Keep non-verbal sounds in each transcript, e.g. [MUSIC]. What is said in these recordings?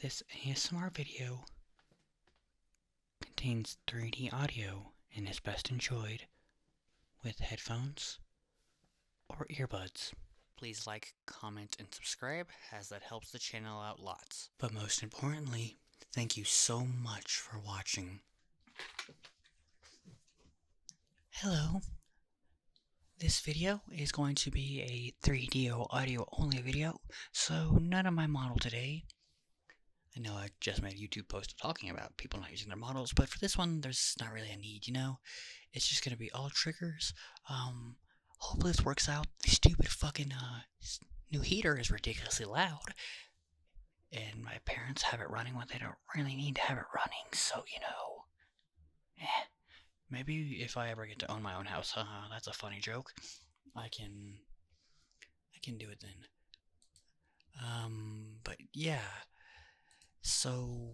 This ASMR video contains 3D audio and is best enjoyed with headphones or earbuds. Please like, comment, and subscribe as that helps the channel out lots. But most importantly, thank you so much for watching. Hello, this video is going to be a 3DO audio only video, so none of my model today. I know I just made a YouTube post talking about people not using their models, but for this one, there's not really a need, you know? It's just gonna be all triggers. Um, hopefully this works out. The stupid fucking, uh, new heater is ridiculously loud. And my parents have it running when they don't really need to have it running, so, you know, eh. Maybe if I ever get to own my own house, that's a funny joke. I can I can do it then. Um but yeah. So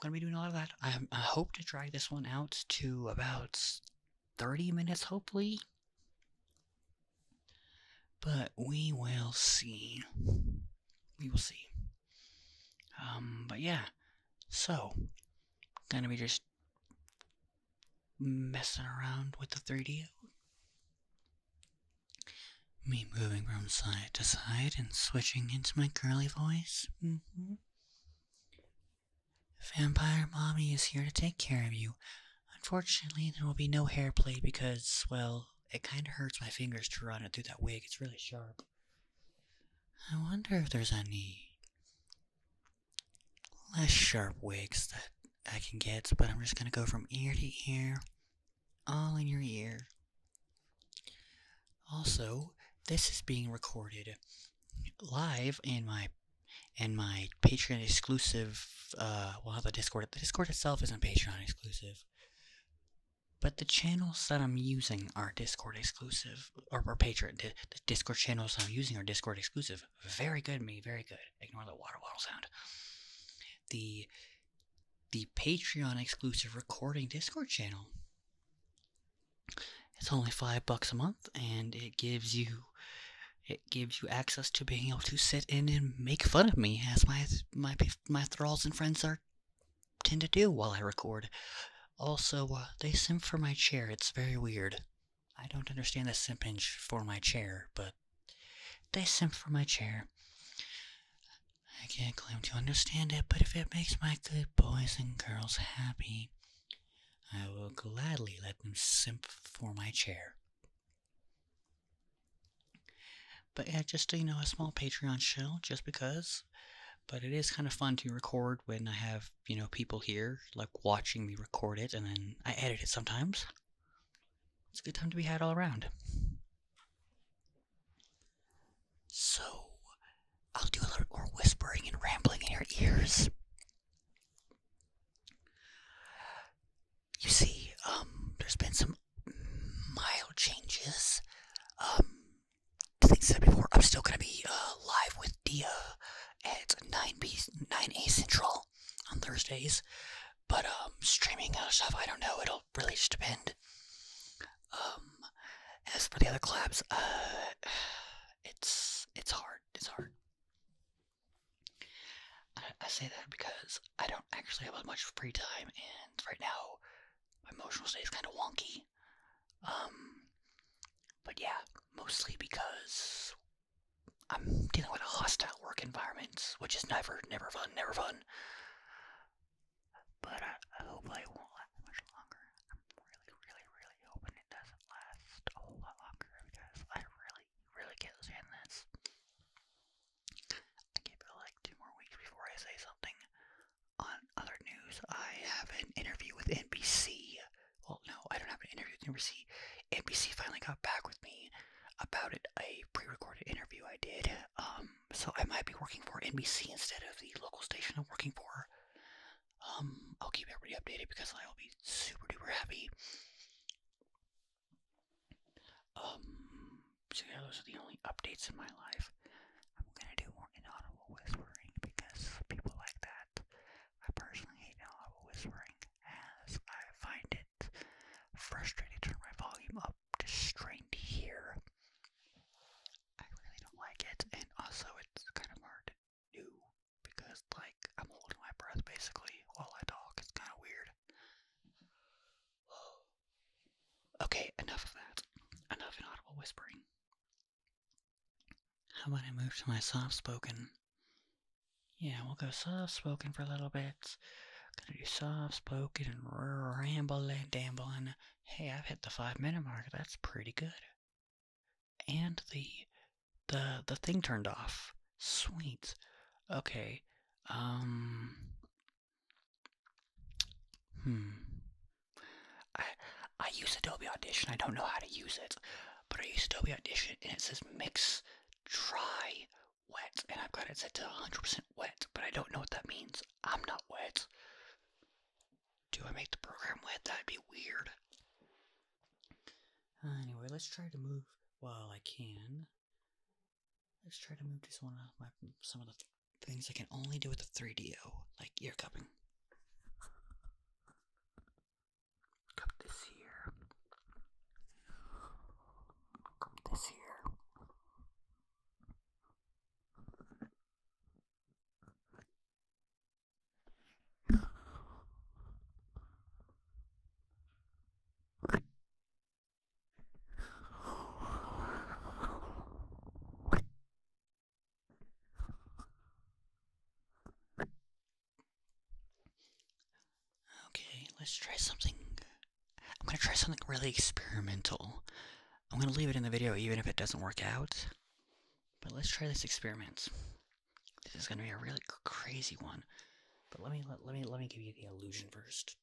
gonna be doing a lot of that. I, I hope to drag this one out to about 30 minutes, hopefully. But we will see. We will see. Um, but yeah. So, gonna be just messing around with the 3D. Me moving from side to side and switching into my girly voice. Mm-hmm. Vampire Mommy is here to take care of you. Unfortunately, there will be no hair play because, well, it kind of hurts my fingers to run it through that wig. It's really sharp. I wonder if there's any less sharp wigs that I can get, but I'm just gonna go from ear to ear, all in your ear. Also, this is being recorded live in my and my Patreon exclusive. Uh, well, the Discord, the Discord itself isn't Patreon exclusive, but the channels that I'm using are Discord exclusive or, Patreon. The, the Discord channels I'm uh, using are Discord exclusive. Very good, me. Very good. Ignore the water bottle sound. The the Patreon exclusive recording Discord channel. It's only five bucks a month, and it gives you it gives you access to being able to sit in and make fun of me as my my my thralls and friends are tend to do while I record. Also, uh, they simp for my chair. It's very weird. I don't understand the simping for my chair, but they simp for my chair. I can't claim to understand it, but if it makes my good boys and girls happy, I will gladly let them simp for my chair. But yeah, just you know, a small Patreon show, just because but it is kind of fun to record when I have, you know, people here, like watching me record it, and then I edit it sometimes. It's a good time to be had all around. So, I'll do a little more whispering and rambling in your ears. You see, um, there's been some mild changes. Um, like I said before, I'm still gonna be uh, live with Dia at 9 p 9 a Central on Thursdays, but um, streaming other stuff, I don't know. It'll really just depend. Um, as for the other collabs, uh, [SIGHS] it's it's hard. It's hard. I, say that because I don't actually have as much free time, and right now my emotional state is kind of wonky. Um, but yeah, mostly because I'm dealing with a hostile work environment, which is never, never fun, never fun. But I, hope I won't last much longer. I'm really, really, really hoping it doesn't last a whole lot longer because I really, really can't stand this. I give it like two more weeks before I say something on other news, I have an interview with NBC. Well, no, I don't have an interview with NBC. NBC finally got back with me about it, a pre-recorded interview I did. Um, so I might be working for NBC instead of the local station I'm working for. Um, I'll keep everybody updated because I'll be super duper happy. Um, so yeah, those are the only updates in my life. I'm gonna do more inaudible whispering because people like that. I personally hate audible whispering as I find it frustrating to turn my volume up to strain to hear. I really don't like it, and also it's kind of hard to do because, like, I'm holding my breath basically while I talk. It's kind of weird. [SIGHS] Okay, enough of that. Enough of inaudible whispering. How about I move to my soft spoken? Yeah, we'll go soft spoken for a little bit. Gonna do soft spoken and rambling, dambling. Hey, I've hit the five minute mark. That's pretty good. And the the the thing turned off. Sweet. Okay. Um. Hmm. I I use Adobe Audition. I don't know how to use it, but I use Adobe Audition, and it says mix dry wet, and I've got it set to 100% wet, but I don't know what that means. I'm not wet. Do I make the program wet? That'd be weird. anyway, let's try to move while I can. Let's try to move just one of my some of the things I can only do with the 3DO, like ear cupping. Come this year. Come this year. Okay, let's try something. I'm gonna try something really experimental. I'm gonna leave it in the video even if it doesn't work out. But let's try this experiment. This is gonna be a really crazy one. But let me let, let me let me give you the illusion first.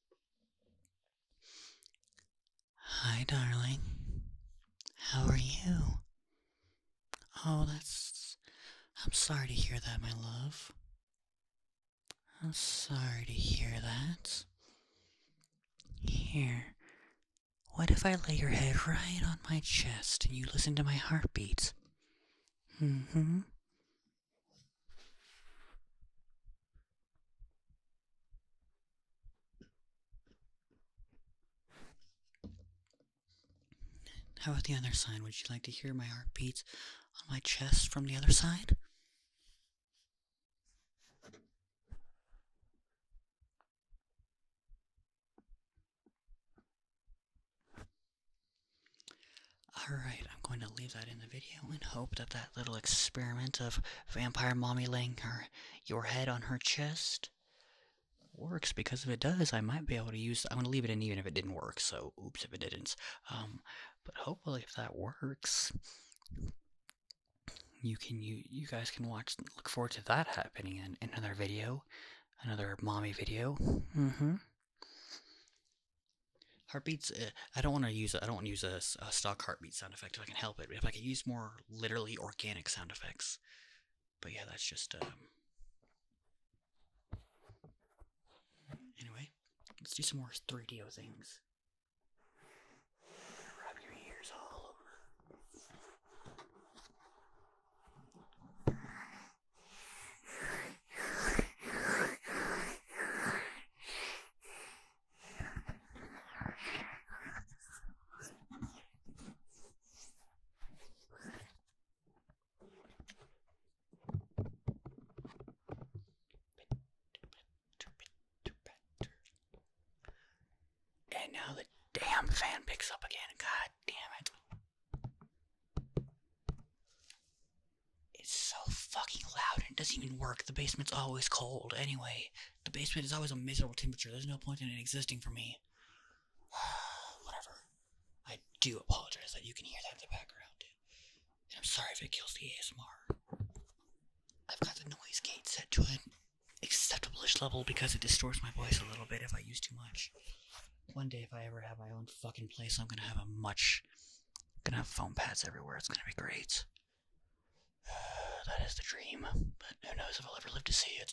Hi darling. How are you? Oh, that's. I'm sorry to hear that, my love. I'm sorry to hear that. Here. What if I lay your head right on my chest and you listen to my heartbeat? hmm. How about the other side? Would you like to hear my heartbeats on my chest from the other side? Alright, I'm going to leave that in the video and hope that that little experiment of vampire mommy laying her your head on her chest works because if it does, I might be able to use. I'm gonna leave it in even if it didn't work. So, oops, if it didn't. Um, but hopefully, if that works, you can you you guys can watch. Look forward to that happening in, another video, another mommy video. Mm-hmm. Heartbeats. Eh, I don't want to use. I don't want to use a, stock heartbeat sound effect if I can help it. If I could use more literally organic sound effects, but yeah, that's just um, Anyway, let's do some more 3DO things. And now the damn fan picks up again. God damn it. It's so fucking loud and it doesn't even work. The basement's always cold. Anyway, the basement is always a miserable temperature. There's no point in it existing for me. [SIGHS] Whatever. I do apologize that you can hear that in the background. And I'm sorry if it kills the ASMR. I've got the noise gate set to an acceptable level because it distorts my voice a little bit if I use too much. One day, if I ever have my own fucking place, I'm gonna have a much. gonna have foam pads everywhere. It's gonna be great. [SIGHS] that is the dream, but who knows if I'll ever live to see it.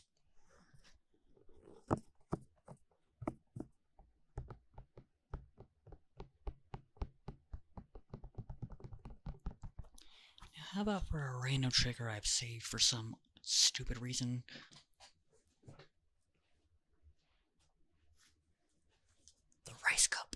How about for a random trigger I've saved for some stupid reason? The rice cup.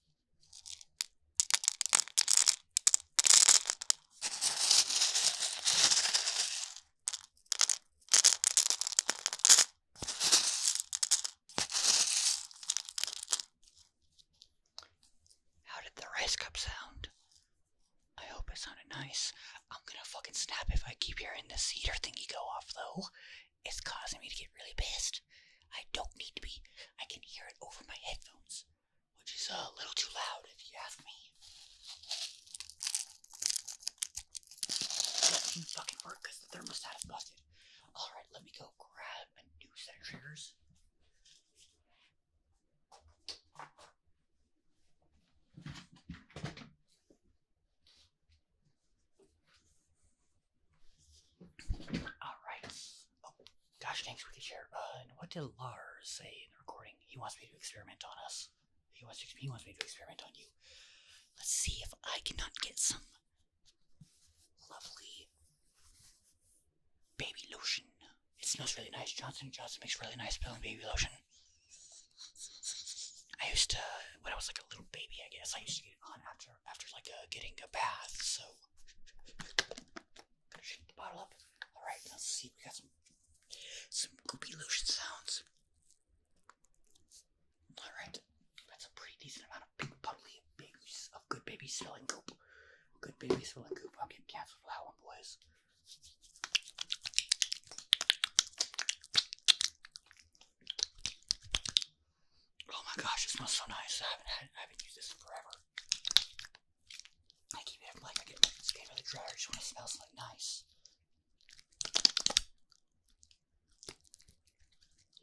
How did the rice cup sound? I hope it sounded nice. I'm gonna fucking snap if I keep hearing this heater thingy go off though. It's causing me to get really pissed. I don't need to be. I can hear it over my headphones, which is a little too loud if you ask me. That not fucking work the thermostat is busted. Alright, let me go grab a new set triggers. Alright. Oh, gosh, thanks, Wicked uh, Chair. what did Lars say in the recording? He wants me to experiment on us. He wants, he wants me to experiment on you. Let's see if I cannot get some lovely baby lotion. It smells really nice. Johnson Johnson makes really nice smelling baby lotion. I used to, when I was like a little baby, I guess, I used to get it on after after after like uh, getting a bath. So shake the bottle up. All right, let's see. We got some some goopy lotion sounds. All right, that's a pretty decent amount of big bubbly babies of good baby smelling goop. Good baby smelling goop. I'm getting cancer for that one, boys. Oh my gosh, it smells so nice. I haven't used this in forever. I keep it like I get my skin out of the dryer. I just want it to smell something nice.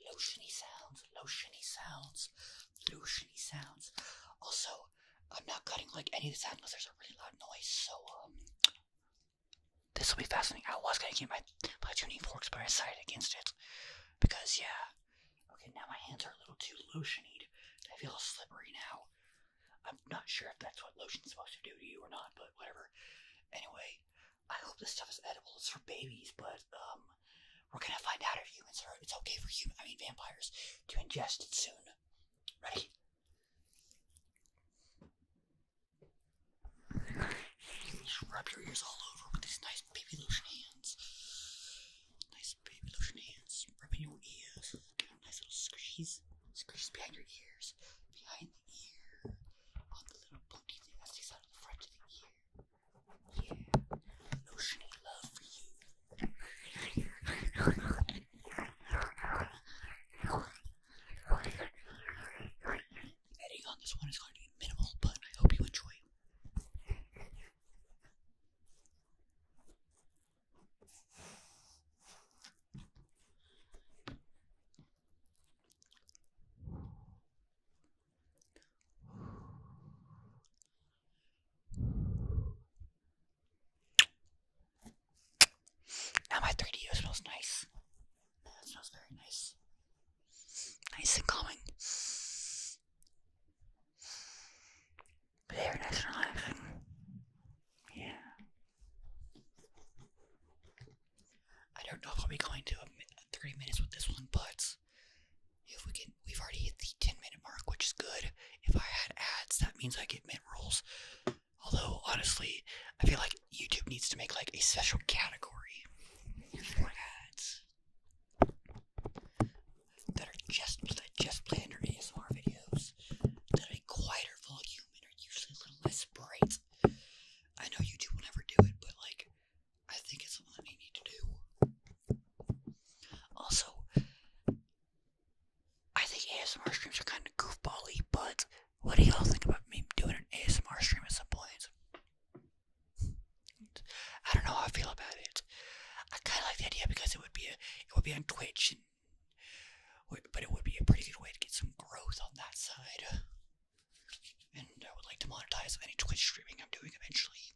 Lotiony sounds, lotiony sounds, lotiony sounds. Also, I'm not cutting like any of the sound unless there's a really loud noise. So um, this will be fascinating. I was gonna get my my tuning forks, by my side against it. Because, yeah. Okay, now my hands are a little too lotiony. I feel slippery now. I'm not sure if that's what lotion's supposed to do to you or not, but whatever. Anyway, I hope this stuff is edible. It's for babies, but, um, we're gonna find out if humans are, it's okay for humans. I mean vampires, to ingest it soon. Ready? Just rub your ears all over with these nice baby lotion hands. Nice baby lotion hands. Rubbing your ears. Give a nice little squeeze. Squeeze behind your ears. Behind the ear. On the little booty thing that sticks out of the front of the ear. Yeah. Lotion and love for you editing on this one is going to be minimal, but I hope you enjoy. Now my 3DO smells nice. That smells very nice. Nice and calming. Very nice and relaxing. Yeah. I don't know if I'll be going to 30 minutes with this one, but if we can, we've already hit the 10 minute mark, which is good. If I had ads, that means I get mint rolls. Although, honestly, I feel like YouTube needs to make like a special category Oh your foreheads that are just that just play under ASMR videos that are quieter volume and are usually a little less bright. I know YouTube will never do it, but like I think it's something that you need to do. Also, I think ASMR streams are kind of goofbally, but what do y'all think about me doing an ASMR stream at some point? I don't know how I feel about it. I kind of like the idea because it would be a, it would be on Twitch, but it would be a pretty good way to get some growth on that side. And I would like to monetize any Twitch streaming I'm doing eventually.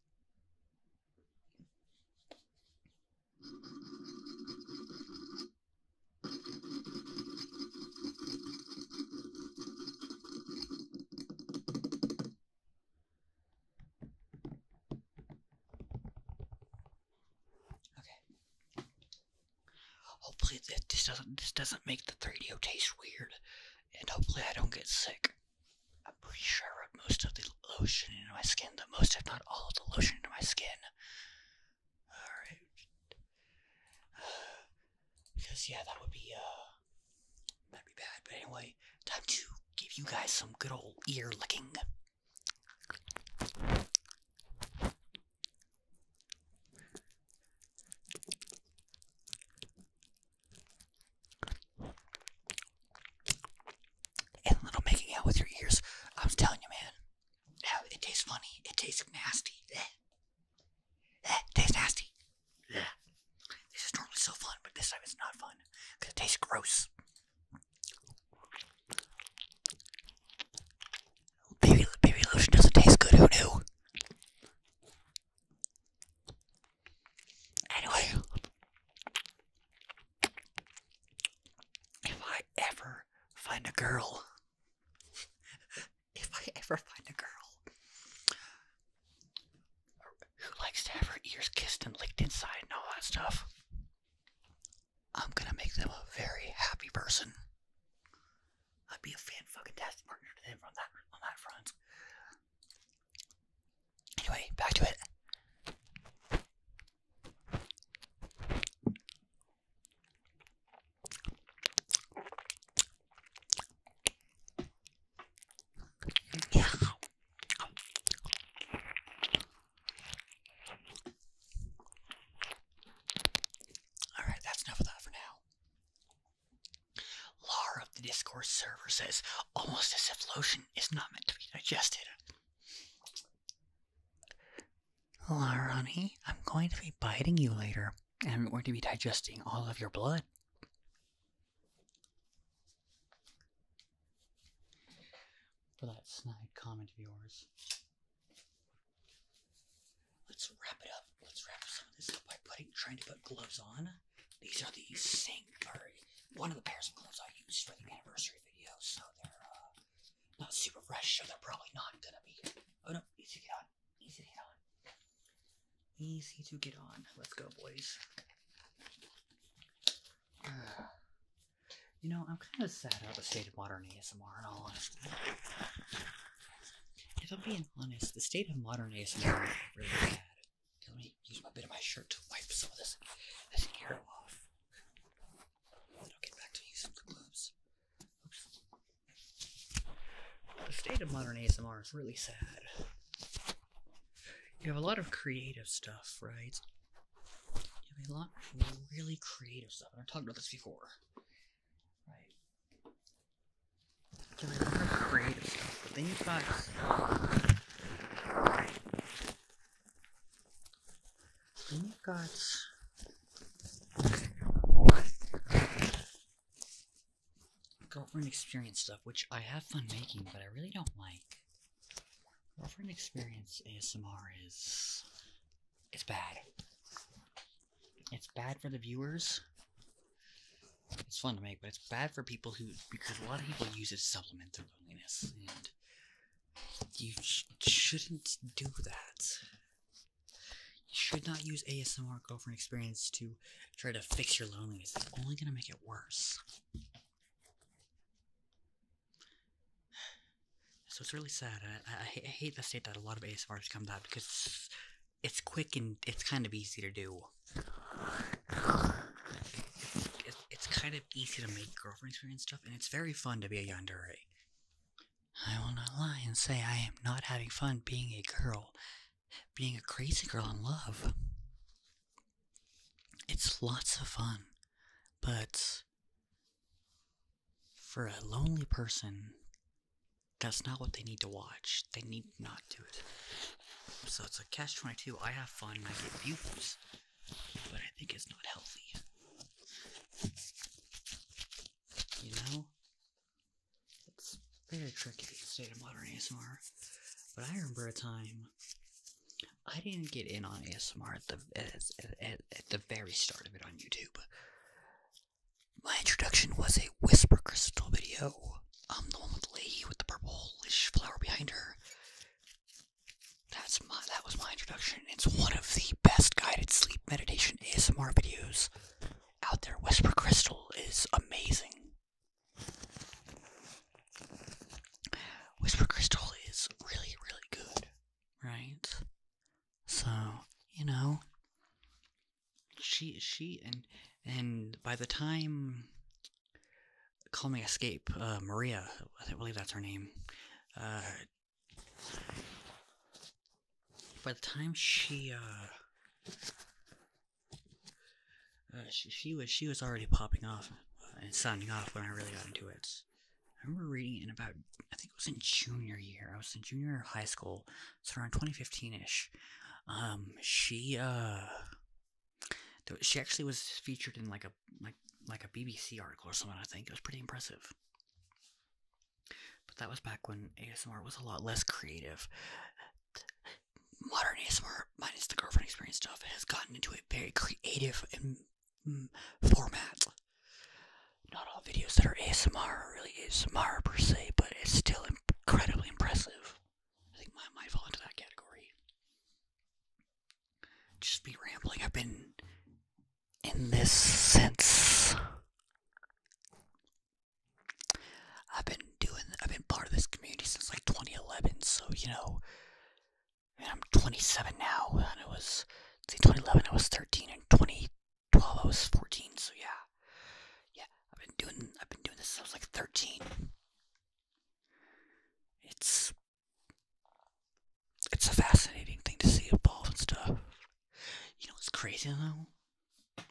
Okay. Hopefully that this doesn't this doesn't make the 3DO taste weird, and hopefully I don't get sick. I'm pretty sure I rubbed most of the lotion into my skin, the most if not all of the lotion into my skin. Alright. Because yeah, that would be uh that'd be bad. But anyway, time to give you guys some good old ear licking. And little making out with your ears. I'm telling you, man. Yeah, it tastes funny. It tastes nasty. [LAUGHS] That tastes nasty. Yeah. This is normally so fun, but this time it's not fun because it tastes gross. baby lotion doesn't taste good. Who knew? Anyway, if I ever find a girl if I [LAUGHS] ever find a girl who likes to have her ears kissed and licked inside and all that stuff, I'm gonna make them a very happy person. I'd be a fan partner to them on that on that front. Anyway, back to it. Yeah. All right, that's enough of that for now. Laura of the Discord server says, almost as if lotion is not meant to be digested. Lar, I'm going to be biting you later and we're going to be digesting all of your blood. For that snide comment of yours. Let's wrap it up. Let's wrap some of this up by putting trying to put gloves on. These are the sink or one of the pairs of gloves I used for the anniversary video, so they're uh, not super fresh, so they're probably not gonna be. Oh no, easy to get Easy to get on. Easy to get on. Let's go, boys. [SIGHS] you know, I'm kind of sad about the state of modern ASMR, If I'm being honest, the state of modern ASMR is really bad. Let me use my bit of my shirt to wipe some of this, hair off. Then I'll get back to using the gloves. The state of modern ASMR is really sad. You have a lot of creative stuff, right? You have a lot of really creative stuff. I've talked about this before. Right? You have a lot of creative stuff, then you got then you got girlfriend experience stuff, which I have fun making, but I really don't like. Girlfriend experience ASMR is. It's bad. It's bad for the viewers. It's fun to make, but it's bad for people who. Because a lot of people use it to supplement their loneliness, and. You shouldn't do that. You should not use ASMR girlfriend experience to try to fix your loneliness. It's only gonna make it worse. So it's really sad. I, hate the state that a lot of ASMRs come out because it's, quick and it's kind of easy to do. it's kind of easy to make girlfriend experience stuff, and it's very fun to be a yandere. I will not lie and say I am not having fun being a girl being a crazy girl in love. It's lots of fun, but for a lonely person, that's not what they need to watch. They need not do it. So it's a catch 22. I have fun and I get views, but I think it's not healthy. You know? It's very tricky to state of modern ASMR, but I remember a time I didn't get in on ASMR at the at, the very start of it on YouTube. My introduction was a whisper crystal video. I'm the one with the lady with the purplish flower behind her. That's my that was my introduction. It's one of the best guided sleep meditation ASMR videos out there. Whisper Crystal is amazing. Whisper Crystal is really, really good, right? So, you know, she, she, and, and by the time Call Me Escape, uh, Maria, I believe that's her name, uh, by the time she, uh, uh, she, was she was already popping off uh, and signing off when I really got into it. I remember reading in about I think it was in junior year. I was in junior high school, so around 2015 ish. Um, she uh, she actually was featured in like a like like a BBC article or something. I think it was pretty impressive. But that was back when ASMR was a lot less creative modern ASMR, minus the girlfriend experience stuff, has gotten into a very creative mm, format. Not all videos that are ASMR are really ASMR per se, but it's still incredibly impressive. I think mine might fall into that category. Just be rambling. I've been in this since I've been doing, I've been part of this community since like 2011, so you know, I am 27 now, and it was, see, 2011 I was 13, and 2012 I was 14, so yeah, yeah, I've been doing, I've been doing this since I was like 13. It's, it's a fascinating thing to see evolve and stuff. You know it's crazy though?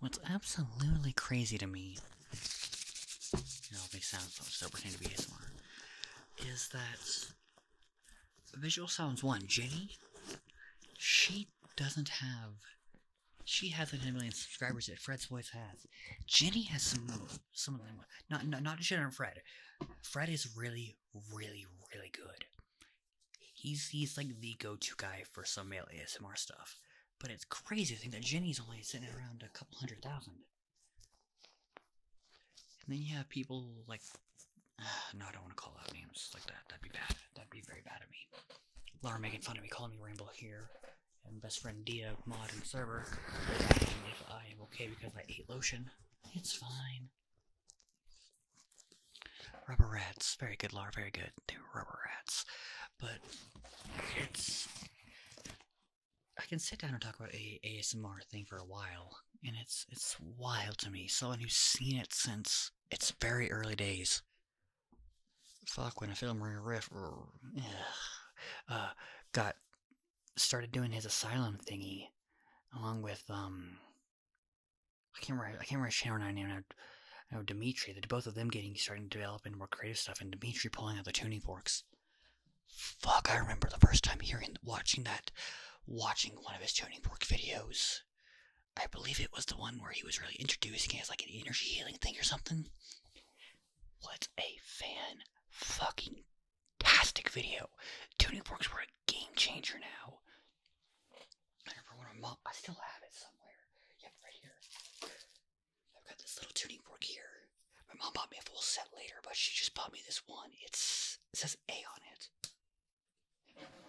What's absolutely crazy to me, and all these sounds that still to be ASMR, is that Visual Sounds 1, Jenny, she doesn't have. She has a 10 million subscribers that Fred's voice has. Jenny has some some of them. Not not not Jenny and Fred. Fred is really really really good. He's he's like the go-to guy for some male ASMR stuff. But it's crazy to think that Jenny's only sitting around a couple hundred thousand. And then you have people like [SIGHS] no, I don't want to call out names like that. That'd be bad. That'd be very bad of me. Laura making fun of me, calling me Ramble here, and best friend Dia mod and server asking if I am okay because I ate lotion. It's fine. Rubber rats, very good lore, very good. They were rubber rats. But it's. I can sit down and talk about a ASMR thing for a while, and it's it's wild to me. Someone who's seen it since its very early days. Fuck, when a film riff, uh, got started doing his asylum thingy, along with um, I can't remember. I can't remember Shannon and I name. I know Dimitri. The both of them getting starting to develop into more creative stuff, and Dimitri pulling out the tuning forks. Fuck! I remember the first time hearing, watching that, watching one of his tuning fork videos. I believe it was the one where he was really introducing it as like an energy healing thing or something. What a fan fucking tastic video. Tuning forks were a game changer now. I remember when my mom, I still have it somewhere. Yep, right here. I've got this little tuning fork here. My mom bought me a full set later, but she just bought me this one. It's, it says A on it. There you go.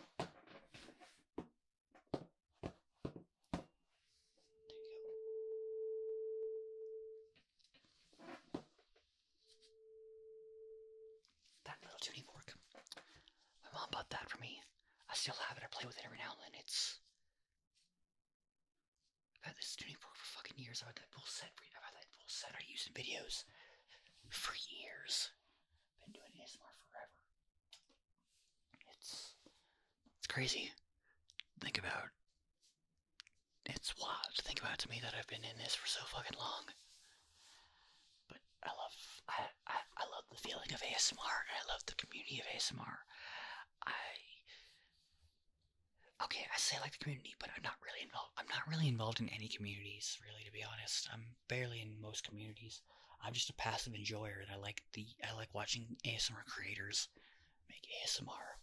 That little tuning fork. My mom bought that for me. I still have it. I play with it every now and then. It's I've had this tuning fork for fucking years. I've had that bull set. I've had that full set. I used in videos for years. Been doing ASMR forever. It's it's crazy. Think about it's wild think about to me that I've been in this for so fucking long. But I love I, I I love the feeling of ASMR. I love the community of ASMR. I okay, I say I like the community, but I'm not really involved. I'm not really involved in any communities, really, to be honest. I'm barely in most communities. I'm just a passive enjoyer, and I like the I like watching ASMR creators make ASMR.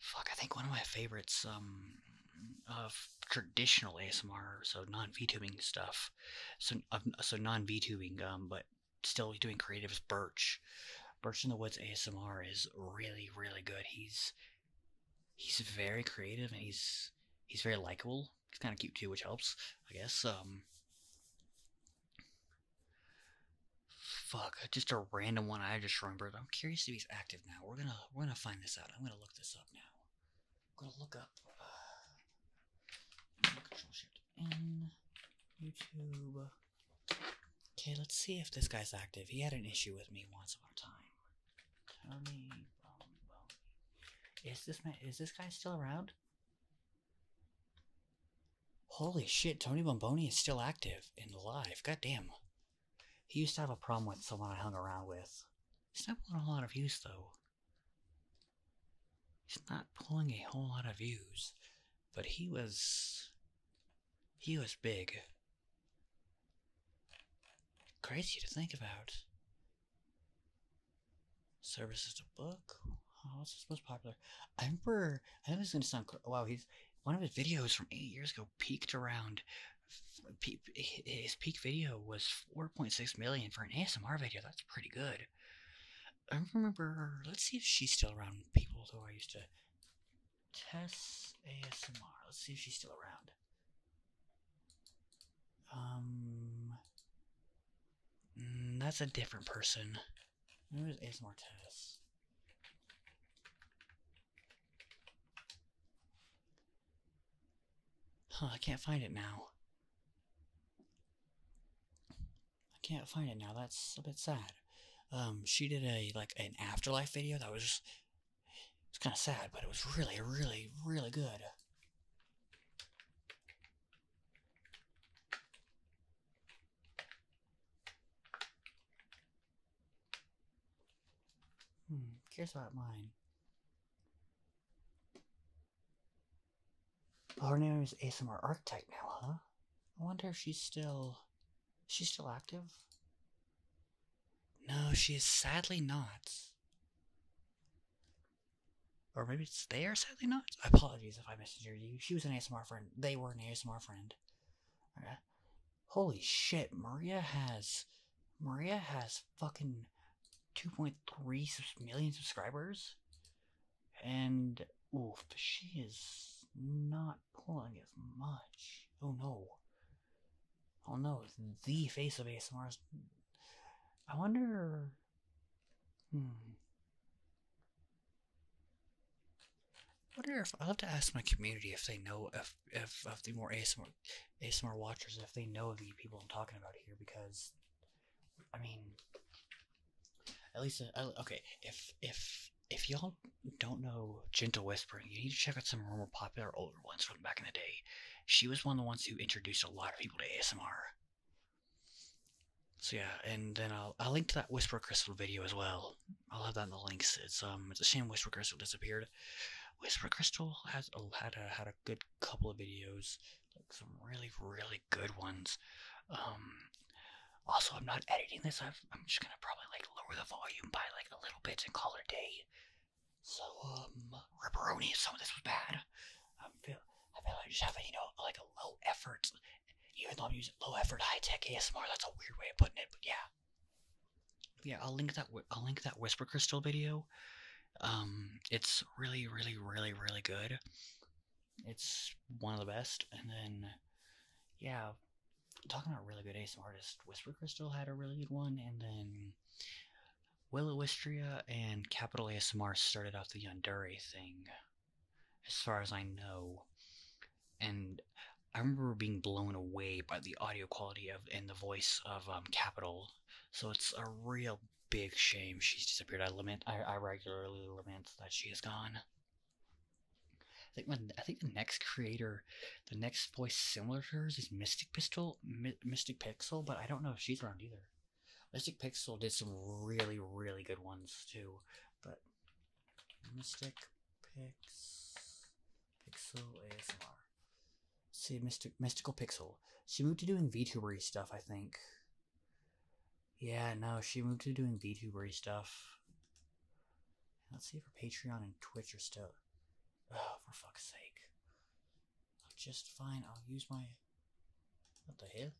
Fuck, I think one of my favorites um of traditional ASMR, so non VTubing stuff, so so non VTubing, um, but still doing creatives. Birch, Birch in the Woods ASMR is really really good. He's he's very creative and he's he's very likable. He's kind of cute too, which helps, I guess. Um, fuck, just a random one I just remembered. I'm curious if he's active now. We're gonna we're gonna find this out. I'm gonna look this up now. I'm gonna look up uh, Control Shift N YouTube. Okay, let's see if this guy's active. He had an issue with me once upon a time. Tony Boni Is this man is this guy still around? Holy shit, Tony Bomboni is still active and alive. God damn. He used to have a problem with someone I hung around with. He's not pulling a lot of use though. He's not pulling a whole lot of views, but he was he was big. Crazy to think about. Services to book. Oh, what's his most popular? I remember. I know this is gonna sound. Wow, he's one of his videos from eight years ago peaked around his peak video was 4.6 million for an ASMR video. That's pretty good. I remember, let's see if she's still around. People though, I used to Tess ASMR. Let's see if she's still around. Um, mm, that's a different person. Who is ASMR Tess? Huh, I can't find it now. I can't find it now. That's a bit sad. Um, she did a like an afterlife video that was just, it's kind of sad, but it was really, really, really good. Hmm, curious about mine her name is ASMR Architect now, huh? I wonder if she's still. She's still active? No, she is sadly not. Or maybe it's they are sadly not? Apologies if I misinterpreted you. She was an ASMR friend. They were an ASMR friend. Holy shit, Maria has. Maria has fucking 2.3 million subscribers. And, oh, she is not pulling as much. Oh no. Oh no, the face of ASMR I wonder... Hmm. I wonder if I'll have to ask my community if they know if if, if the more ASMR ASMR watchers if they know the people I'm talking about here because I mean, at least uh, okay. If if if y'all don't know Gentle Whispering, you need to check out some more popular older ones from back in the day. She was one of the ones who introduced a lot of people to ASMR. So yeah, and then I'll I'll link to that Whisper Crystal video as well. I'll have that in the links. It's um it's a shame Whisper Crystal disappeared. Whisper Crystal has had a had a good couple of videos, like some really, really good ones. Um, also, I'm not editing this. i am just gonna probably like lower the volume by like a little bit and call it a day. So, um, ripperoni. Some of this was bad. I feel I feel like I just have you know like a low effort. Even though I'm using low effort, high tech ASMR. That's a weird way of putting it, but yeah. Yeah, I'll link that. I'll link that Whisper Crystal video um, it's really, really, really, really good. It's one of the best. And then, yeah, talking about really good ASMR, artists, Whisper Crystal had a really good one, and then Willowistria and Capital ASMR started off the Yandere thing, as far as I know. And I remember being blown away by the audio quality of and the voice of um, Capital. So it's a real big shame she's disappeared. I lament. I, I regularly lament that she is gone. I think when I think the next creator, the next voice similar to hers is Mystic Pistol, Mystic Pixel, but I don't know if she's around either. Mystic Pixel did some really really good ones too, but Mystic Pix Pixel ASMR. See Mystic Mystical Pixel. She moved to doing VTubery stuff, I think. Yeah, no, she moved to doing VTubery stuff. Let's see if her Patreon and Twitch are still. Oh, for fuck's sake. i am just fine. I'll use my. What the hell?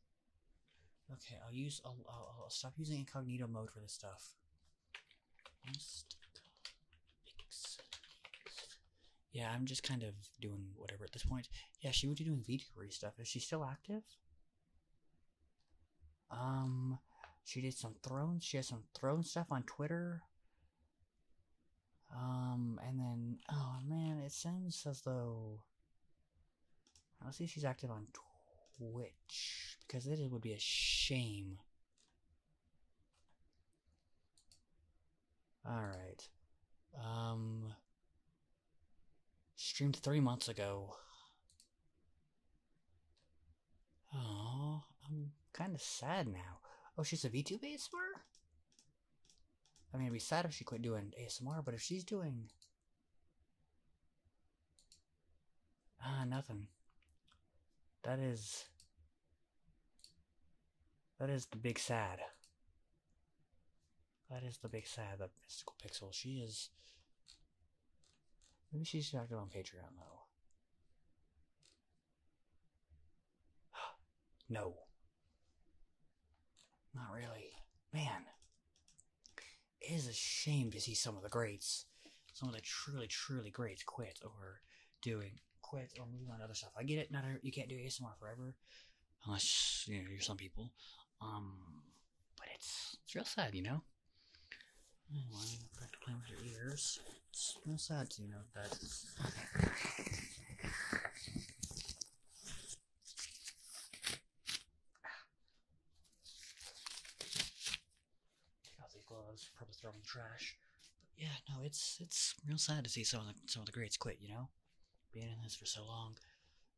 Okay, I'll use. I'll, I'll, I'll stop using incognito mode for this stuff yeah, I'm just kind of doing whatever at this point. Yeah, she would be doing VTuber stuff. Is she still active? Um, she did some throne. She has some throne stuff on Twitter. Um, and then oh man, it seems as though I'll see if she's active on Twitch because it would be a shame. All right. Um. Streamed three months ago. Oh, I'm kind of sad now. Oh, she's a VTube ASMR? I mean, it'd be sad if she quit doing ASMR, but if she's doing... Ah, nothing. That is... That is the big sad. That is the big sad of Mystical Pixel. She is. Maybe she's active on Patreon, though. [GASPS] no. Not really. Man. It is a shame to see some of the greats, some of the truly, truly greats quit or doing quit or moving on to other stuff. I get it, not you can't do ASMR forever, unless you know are some people. Um, but it's it's real sad, you know. playing with your ears. It's real sad, you know that. [SIGHS] gloves, probably throw trash. yeah, no, it's it's real sad to see some of the some of the greats quit, you know being in this for so long.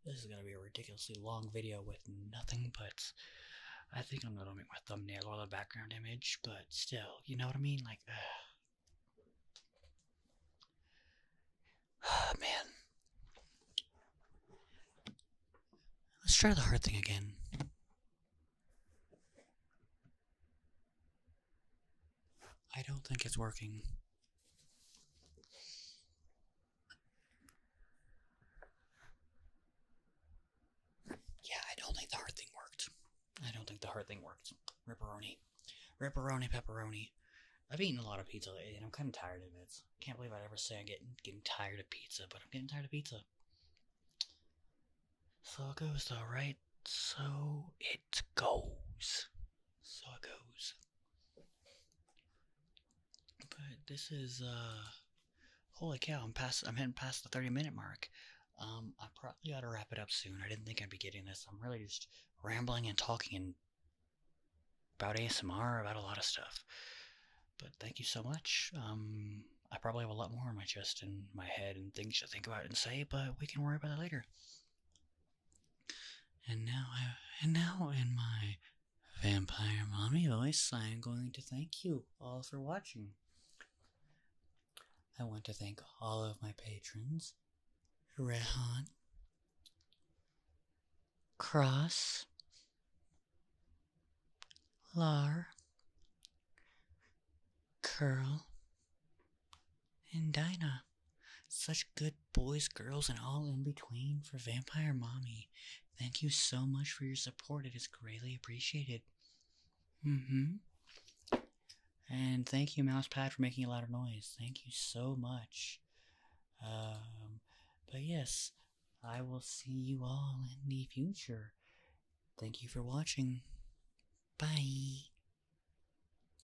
This is going to be a ridiculously long video with nothing but. I think I'm going to make my thumbnail or the background image, but still, you know what I mean? Like, uh, [SIGHS] [SIGHS] man. Let's try the hard thing again. I don't think it's working. Yeah, I don't think the hard thing worked. I don't think the hard thing worked. Ripperoni. Ripperoni pepperoni. I've eaten a lot of pizza lately and I'm kinda tired of it. Can't believe i ever say I'm getting getting tired of pizza, but I'm getting tired of pizza. So it goes though, right? So it goes. So it goes. But this is uh holy cow, I'm past I'm heading past the 30 minute mark. Um I probably ought to wrap it up soon. I didn't think I'd be getting this. I'm really just rambling and talking and about ASMR, about a lot of stuff. But thank you so much. Um I probably have a lot more in my chest and my head and things to think about and say, but we can worry about it later. And now, and now in my vampire mommy voice, I am going to thank you all for watching. I want to thank all of my patrons, Rehan, Cross, Lar, Curl, and Dinah. Such good boys, girls, and all in between for Vampire Mommy. Thank you so much for your support. It is greatly appreciated. Mm-hmm. And thank you, Mousepad, for making a lot of noise. Thank you so much. Um, but yes, I will see you all in the future. Thank you for watching. Bye.